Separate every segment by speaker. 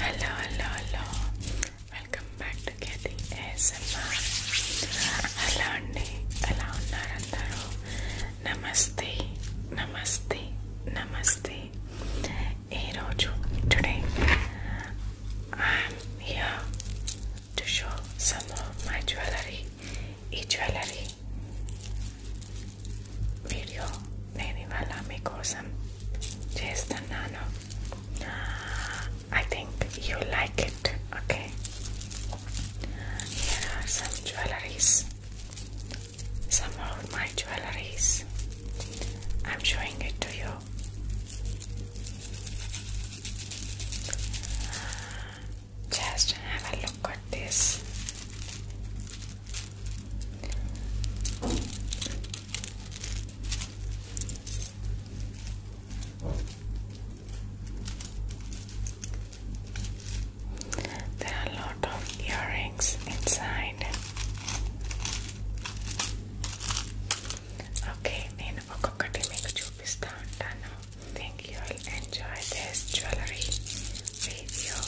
Speaker 1: Hello, hello, hello. Welcome back to Kathy ASMR. Hello, Andy. Hello, Narandaro. Namaste, namaste, namaste. Hey, Roju. Today, I'm here to show some of my jewelry. E jewelry Video. Video నేను ఇవాళ మీకోసం చేస్తున్నాను I think you like it okay here are some jewelries some of my jewelries. I'm showing it to you. Just have a look at this. There are a lot of earrings inside. Okay, నేను ఒక్కొక్కటి మీకు చూపిస్తా ఉంటాను. Think you'll enjoy this jewelry video.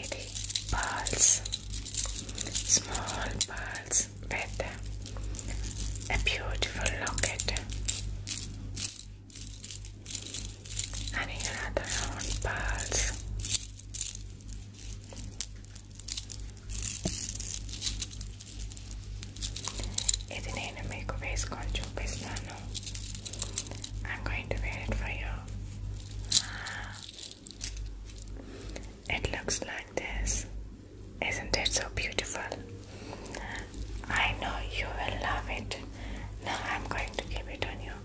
Speaker 1: It is balls, small balls with a beautiful locket, and another round balls. ఇది నేను మీకు వేసుకొని చూపిస్తాను I'm going to wear it for you. It looks like this. Isn't it so beautiful? I know you will love it. Now I'm going to keep it on you.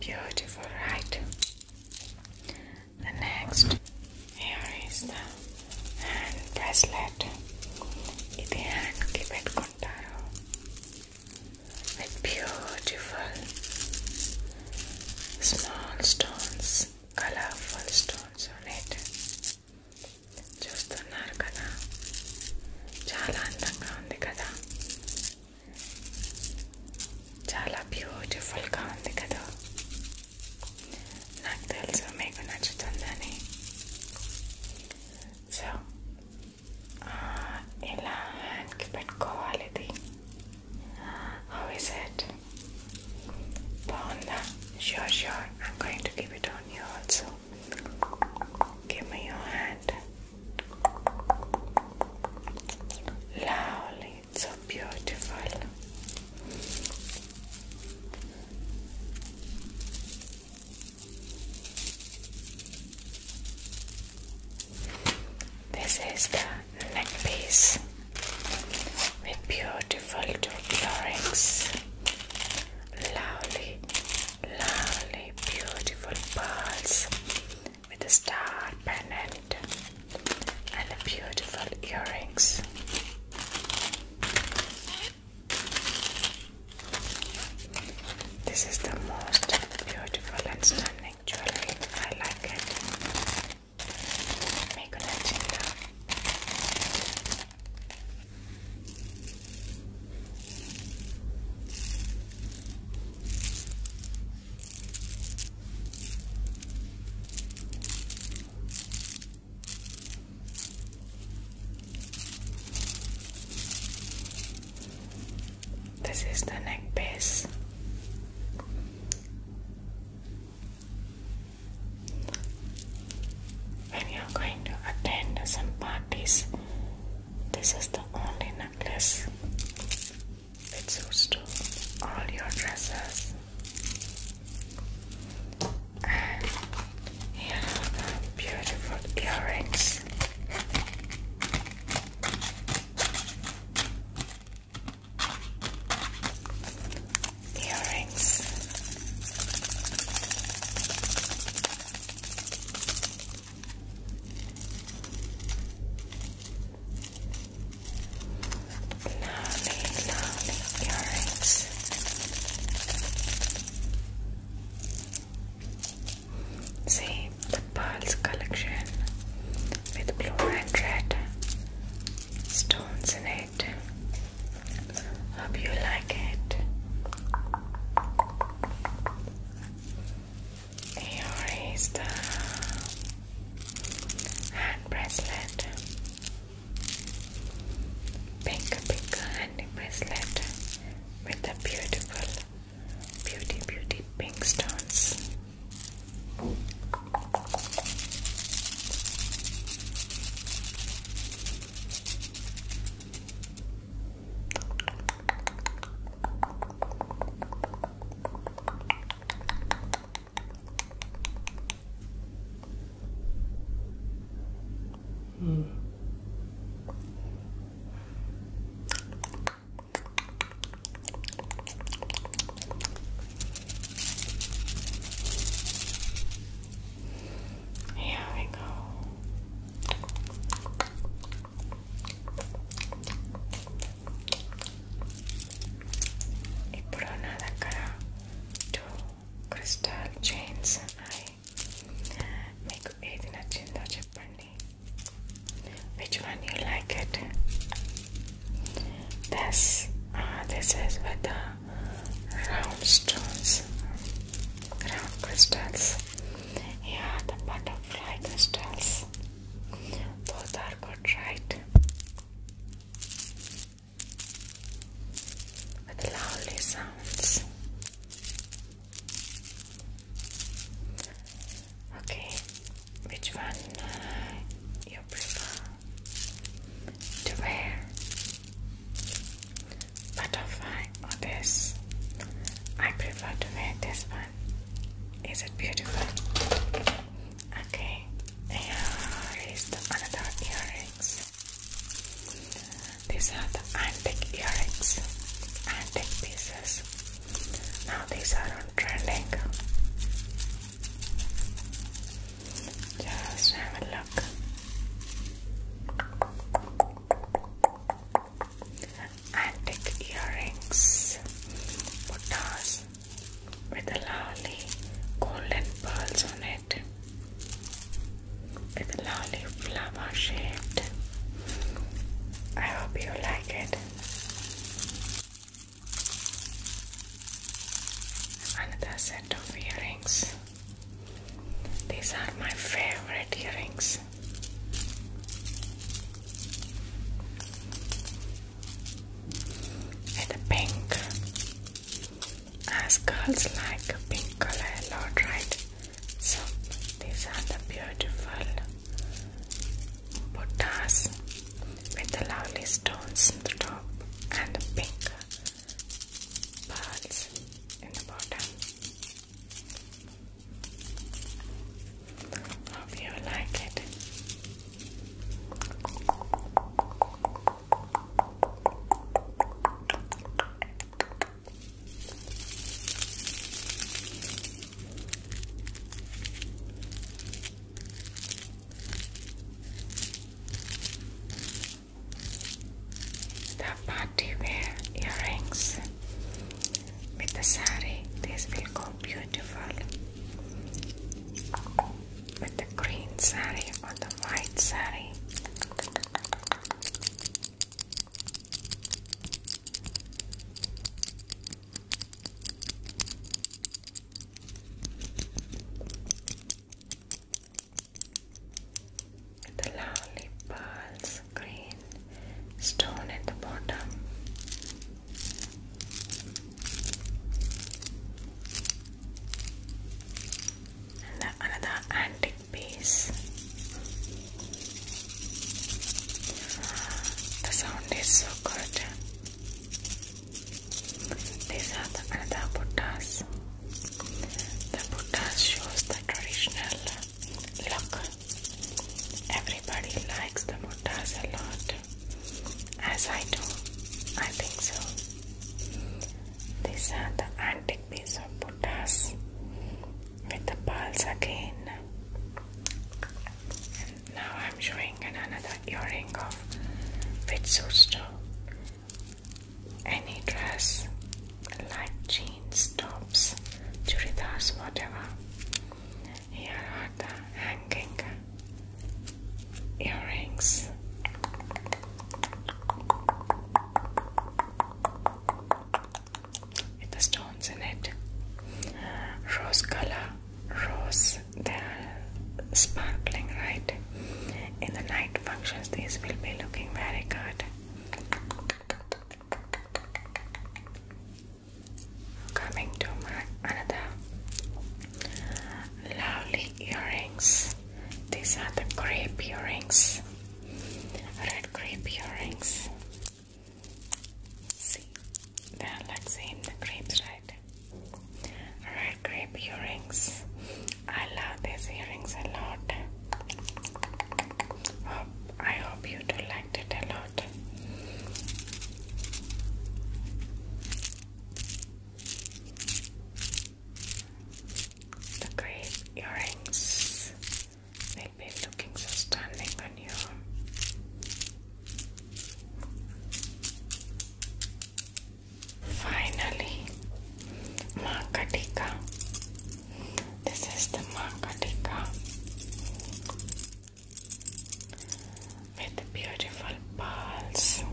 Speaker 1: Beautiful, right? The next here is the hand bracelet. Iti hand kibet kontaro with beautiful small stones, colorful stones on it. చూస్తున్నారు కదా చాలా అందంగా ఉంది కదా beautiful బ్యూటిఫుల్గా ఉంది కదా నాకు తెలుసు మీకు నచ్చుతుందని సో ఇలా హ్యాండ్కి పెట్టుకోవాలి ఇది హౌ ఇస్ ఇట్ బాగుందా sure sure I'm going to give it on you also give me your hand Lovely, so beautiful. This is the necklace with beautiful two earrings. Lovely, lovely, beautiful pearls with a star pendant and beautiful earrings. This is the most beautiful and stunning jewelry. I like it. Make an this is the neck When you are going to attend some parties, this is the only necklace that suits to all your dresses here are the beautiful earrings. Earrings. Lovely, lovely earrings. See the pearls collection with blue and red stones in it. Hope you like it. Here is the hand bracelet pink pink honey bracelet with the beautiful beauty beauty pink stones Mm. Here we go. ఇప్పుడు నా దగ్గర two crystal chains ఉన్నాయి మీకు ఏది నచ్చిందో చెప్పండి which one you like it this this is with round stones round crystals yeah the butterfly crystals both are good right with lovely sounds. Okay, which one uh, you prefer to wear? Butterfly or this? I prefer to wear this one. Is it beautiful? Okay, here is another earrings. These are the antique earrings, antique pieces. Now these are on trending. Just have a look. Antique earrings, butas, with a lovely golden pearls on it with a lovely flower shaped. I hope you like it. Another set of earrings. These are my favorite earrings and pink as girls like pink color a right so these are the beautiful Buddhas with the lovely stones in the top and the pink pearls in the bottom hope you like it the party wear earrings with the sari. This will go beautiful with the green sari with the white sari. With the lovely pearls, green stone at the bottom and the another antique piece. The sound is so good. These are the another Buddhas. The Buddhas shows the traditional look. Everybody likes the Buddhas a lot as I do. I think so. These are the antique pieces of Buddhas with the pearls again. now I'm showing another earring of which suits to any dress like jeans, tops, churidars, whatever. Here are the hanging earrings. With the stones in it, rose color, rose, they are sparkling, right? In the night functions, these will be looking very good coming to my another lovely earrings these are the grape earrings red grape earrings see they are like same the grapes right red grape earrings I love these earrings a lot I hope you do like it a lot the grey earrings make me looking so stunning on you. Finally, Makatika. This is the Makatika with beautiful pearls,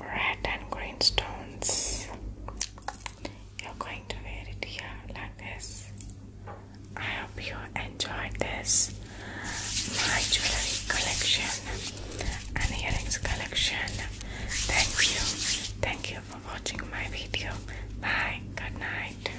Speaker 1: red and green stones. You're going to wear it here like this. I hope you enjoyed this my jewelry collection and earrings collection. Thank you, thank you for watching my video. Bye, good night.